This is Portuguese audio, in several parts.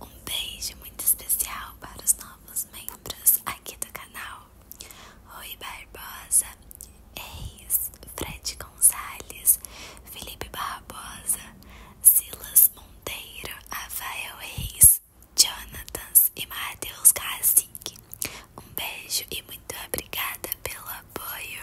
Um beijo muito especial para os novos membros aqui do canal: Rui Barbosa, Eis, Fred Gonzalez, Felipe Barbosa, Silas Monteiro, Rafael Reis, Jonathan e Matheus Cacique. Um beijo e muito obrigada pelo apoio.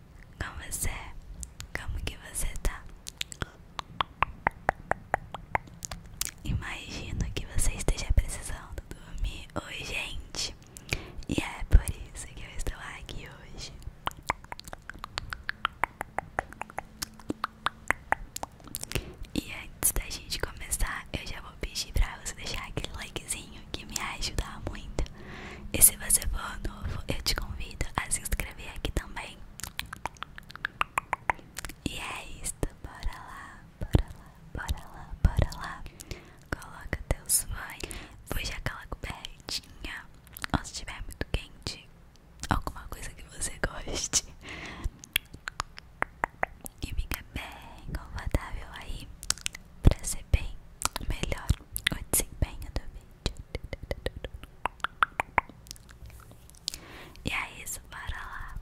Como você é? Como que você tá? Imagino que você esteja precisando dormir gente. E é por isso que eu estou aqui hoje. E antes da gente começar, eu já vou pedir pra você deixar aquele likezinho que me ajuda muito. E se você for novo, eu te convido a se inscrever aqui também. E é isso bora lá, bora lá, bora lá, bora lá. Coloca teus fãs, puxa aquela cobertinha, ou se estiver muito quente, alguma coisa que você goste. E fica bem confortável aí pra ser bem melhor o desempenho do vídeo. E é isso, bora lá.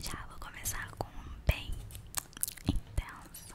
Já vou começar com um bem intenso.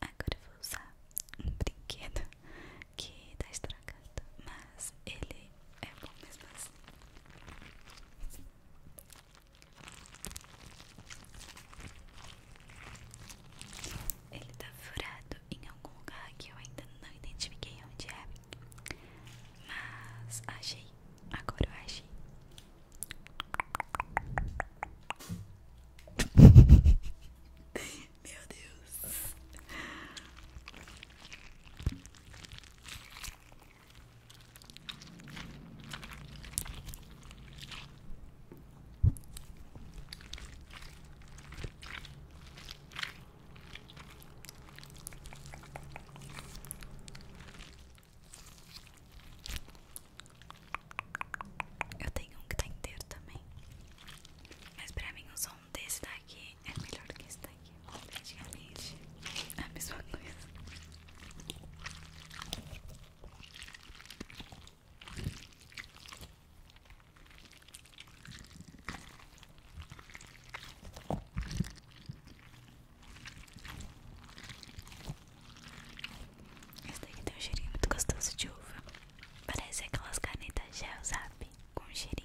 Agora eu vou usar um brinquedo que tá estragado, mas ele é bom mesmo assim. Ele tá furado em algum lugar que eu ainda não identifiquei onde é, mas achei. Agora eu achei. Meu Deus. Eu tenho um que tá inteiro também. Mas pra mim o som desse daqui é melhor que esse daqui. Praticamente é a mesma coisa. Esse daqui tem um cheirinho muito gostoso de uva. Parece aquelas canetas gel, sabe? Com cheirinho.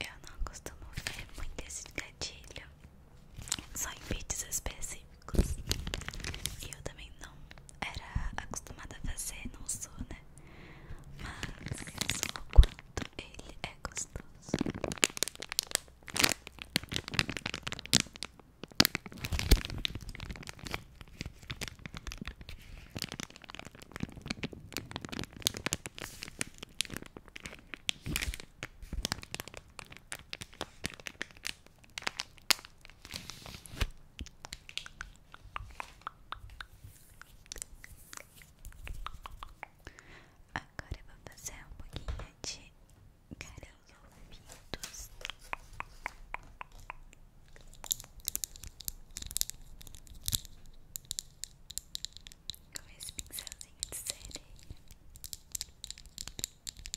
Eu não costumo ver muito esse gatilho. Só em vídeos específicos específicos eu também não era acostumada a fazer, não sou, né? Mas só o quanto ele é gostoso. Agora vou fazer um pouquinho de caros ouvidos. Com esse pincelzinho de sereia.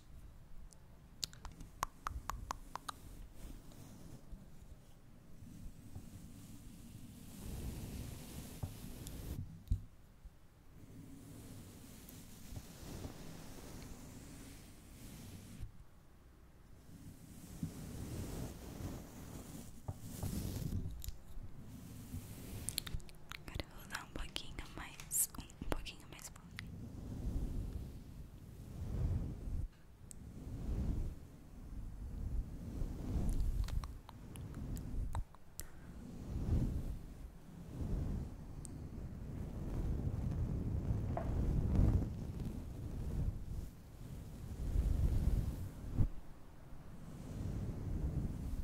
Agora eu vou dar um pouquinho mais um pouquinho mais pobre.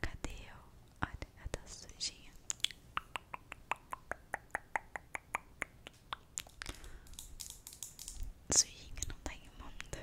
Cadê eu? Olha, ela tá sujinha. Sujinha não tá imunda.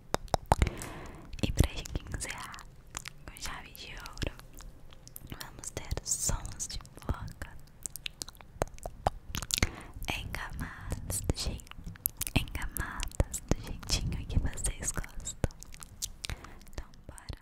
E para pra esguinzear com chave de ouro, vamos ter sons de boca em do jeito, em do jeitinho que vocês gostam. Então, bora.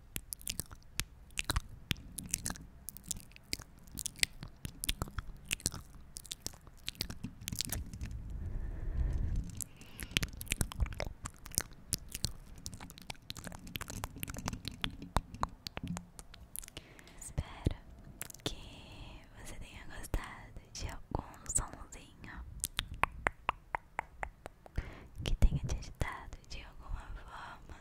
Espero que você tenha gostado de algum somzinho que tenha te ajudado de alguma forma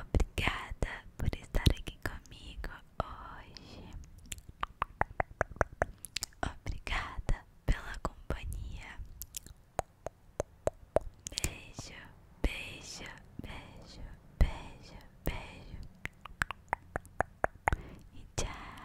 Obrigada por estar aqui comigo hoje. Obrigada pela companhia. Beijo, beijo, beijo, beijo, beijo. E tchau.